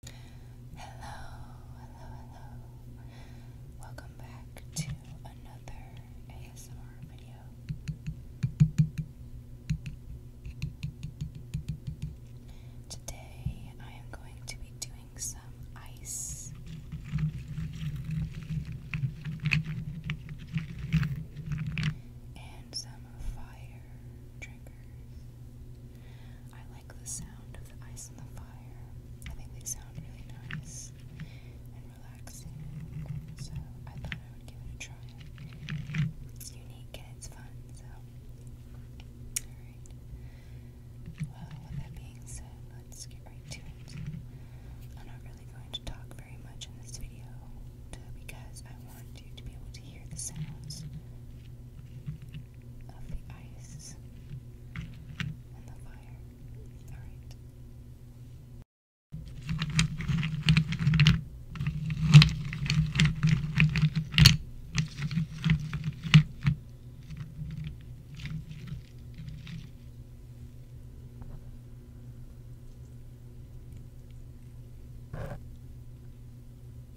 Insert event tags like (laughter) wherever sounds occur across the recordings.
Hello, hello, hello. Welcome back to another ASMR video. Today I am going to be doing some ice. And some fire triggers. I like the sound of the ice on the fire. I think they sound really nice and relaxing, so I thought I would give it a try. It's unique and it's fun, so. with that being said, let's get right to it. I'm not really going to talk very much in this video because I want you to be able to hear the sounds of the ice and the fire. Alright.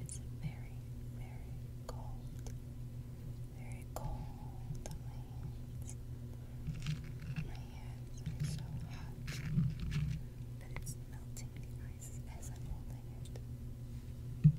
It's very, very cold. Very cold my hands. My hands are so hot that it's melting the ice as I'm holding it.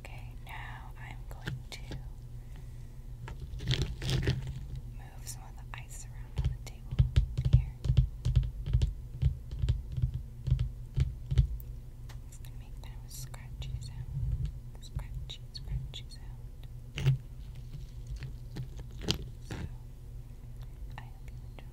Okay, now I'm going to move some of the ice around on the table here. It's going to make that scratchy sound. Scratchy, scratchy sound. So, I hope you enjoy.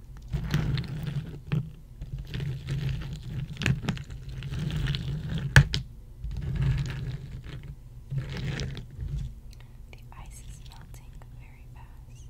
The ice is melting very fast.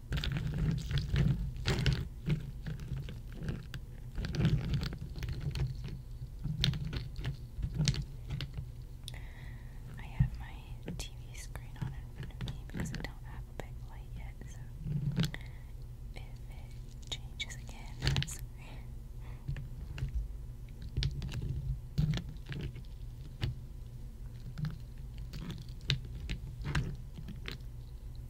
I have my TV screen on in front of me because I don't have a big light yet, so if it changes again, I'm sorry.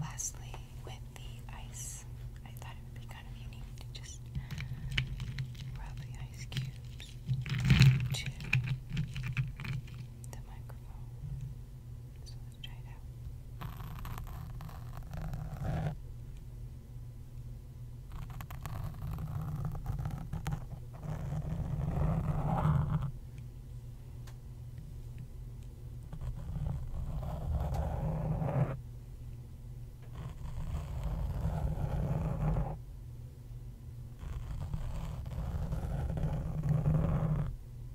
Lastly, with the ice, I thought it would be kind of unique to just rub the ice cubes to the microphone. So let's try it out. All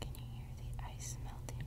Can you hear the ice melting?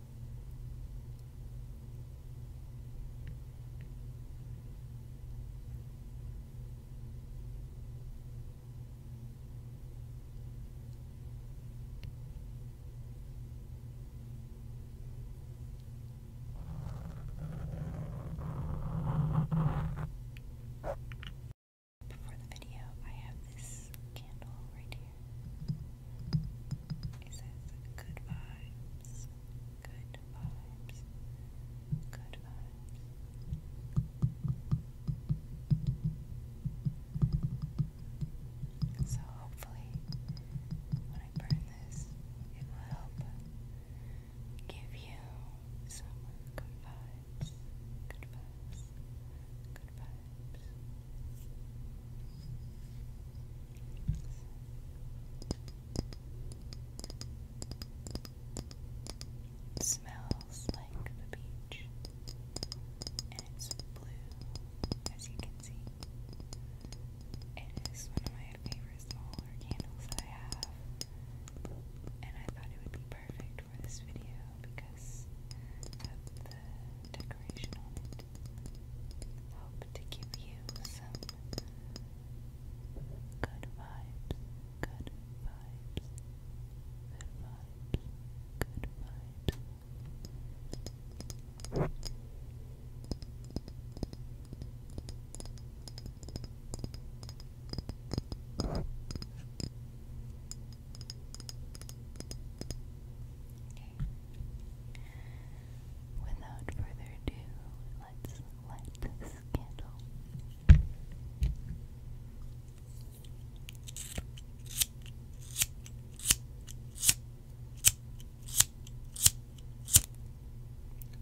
Before the video, I have this candle right here. It says good vibes, good vibes, good vibes. So hopefully, when I burn this, it will help give you some good vibes, good vibes, good vibes. It smells like the beach, and it's blue, as you can see. It is one of my favorite smaller candles that I have, and I thought it would be perfect for this video because the Hope to give you some good vibes, good vibes, good vibes, good vibes. Good Okay. Without further ado, let's light this candle.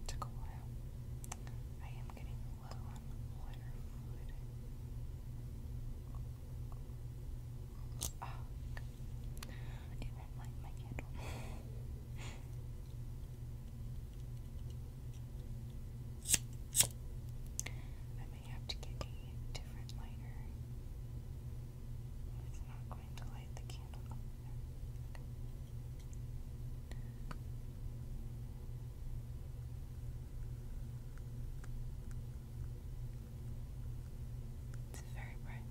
took a while. I am getting low on water Oh, it won't light my candle. I may have to get a different lighter. It's not going to light the candle it's very bright.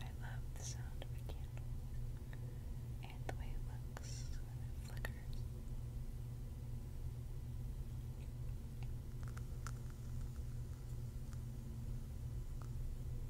I love the sound of a candle and the way it flickers.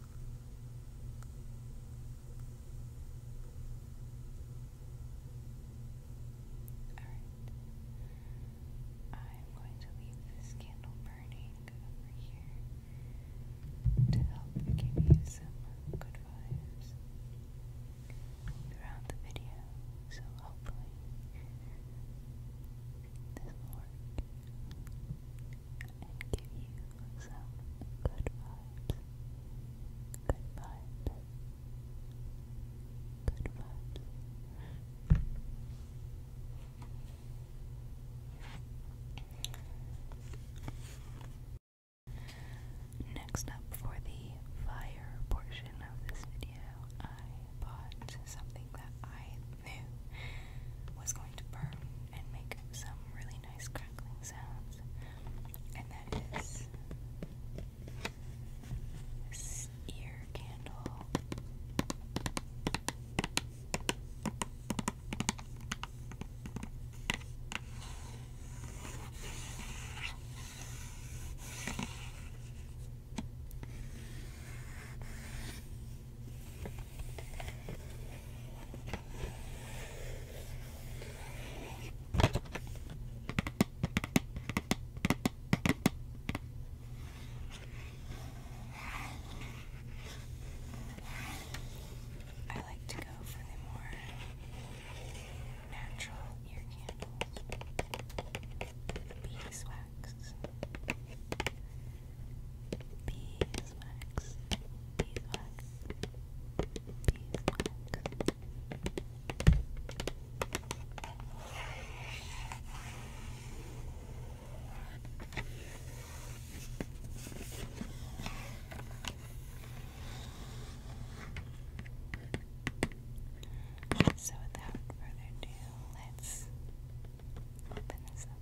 Alright. I'm going to leave this candle burning over here to help give you some good vibes throughout the video. So hopefully this will work and give you some good vibes. Good vibes. Good vibes. Next up for the fire portion of this video, I bought something that I knew was going to burn and make some really nice crackling sounds, and that is ear candle. I like to go for the more natural ear candles, beeswax, beeswax, beeswax, So without further ado, let's open this up.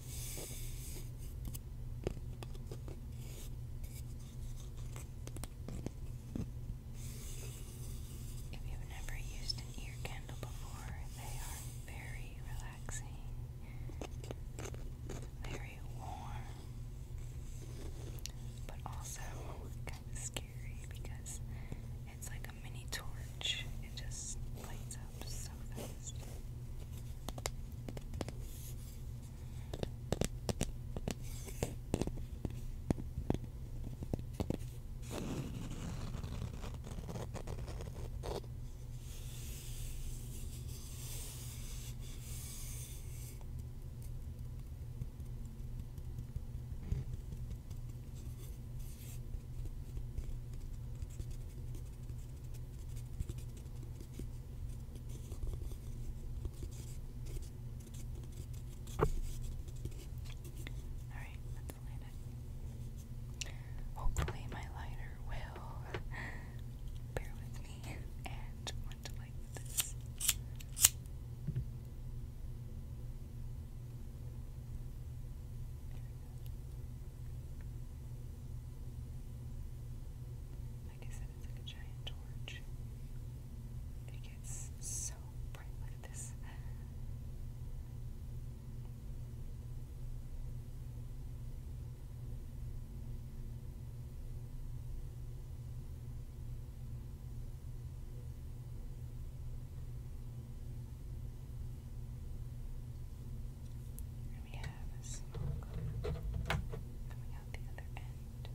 If you've never used an ear candle before, they are very relaxing, very warm, but also kind of scary because it's like a mini torch. It just lights up up so fast. Alright, let's light it. Hopefully, my lighter will (laughs) bear with me and want to light this. Like I said, it's like a giant torch. It gets so bright. Look at this. And we have a small coming out the other end.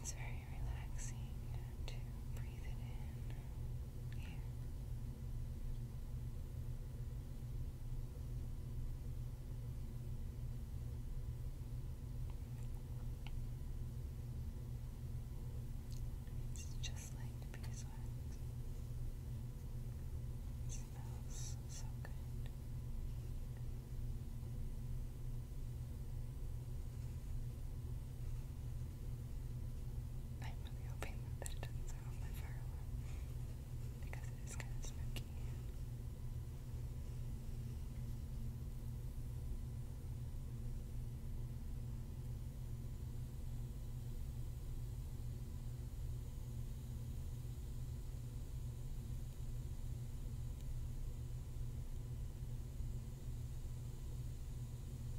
It's very relaxing to breathe it in here. It's just like the beeswax. smells so good. I'm really hoping that it doesn't sound my firearm because it is kind of spooky.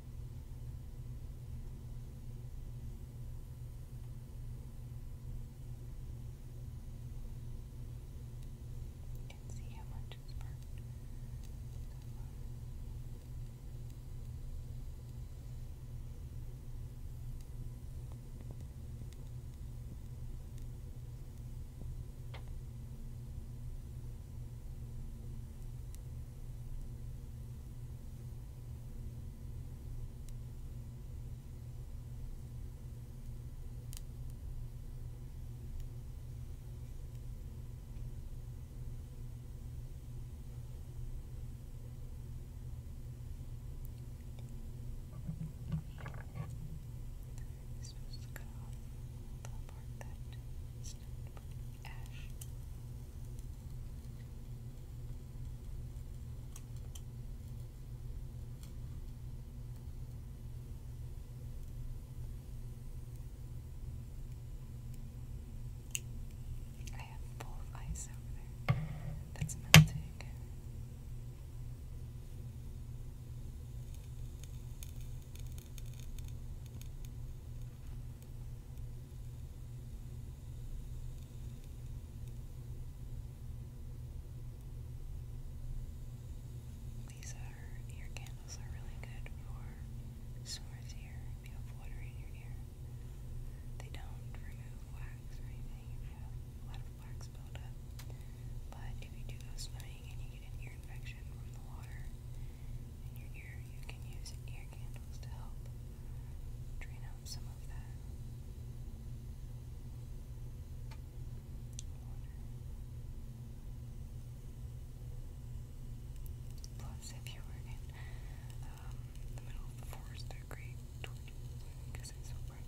You can see how much is burnt. It's supposed to cut off the part that not Ash. I have a ice over there that's melting. These ear candles are really good for sores here if you have water in your ear. They don't remove wax or anything if you have a lot of wax buildup. But if you do go swimming and you get an ear infection from the water, in your ear, you can use ear candles to help drain out some of that water. Plus, if you were in um, the middle of the forest, they're great because it's so bright.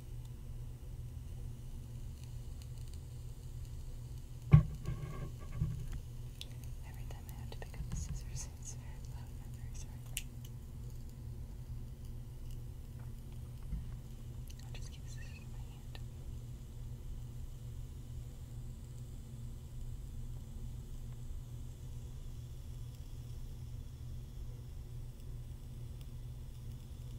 Every time I have to pick up the scissors, I'm very sorry. I'll just keep scissors in my hand.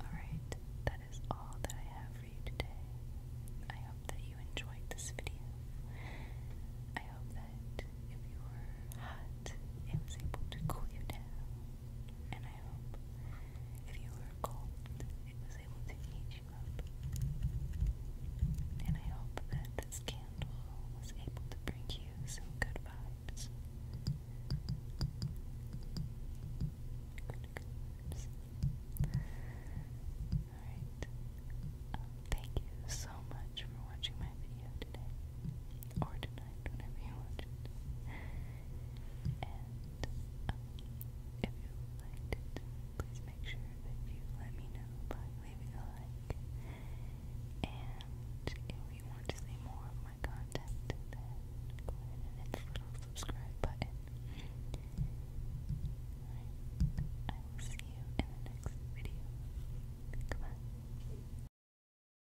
Alright, that is all that I have for you today. I hope that you enjoyed this video. I hope that if you were hot, it was able to cool you down and I hope if you were cold, it was able to heat you up. And I hope that this candle was able to bring you some good vibes. Alright. Um, thank you so much for watching my video today or tonight, whenever you watch And um, if you liked it, please make sure that let me know by leaving a like. And if you want to see more of my content, go ahead and hit the little subscribe button. I will see you in the next video. Goodbye.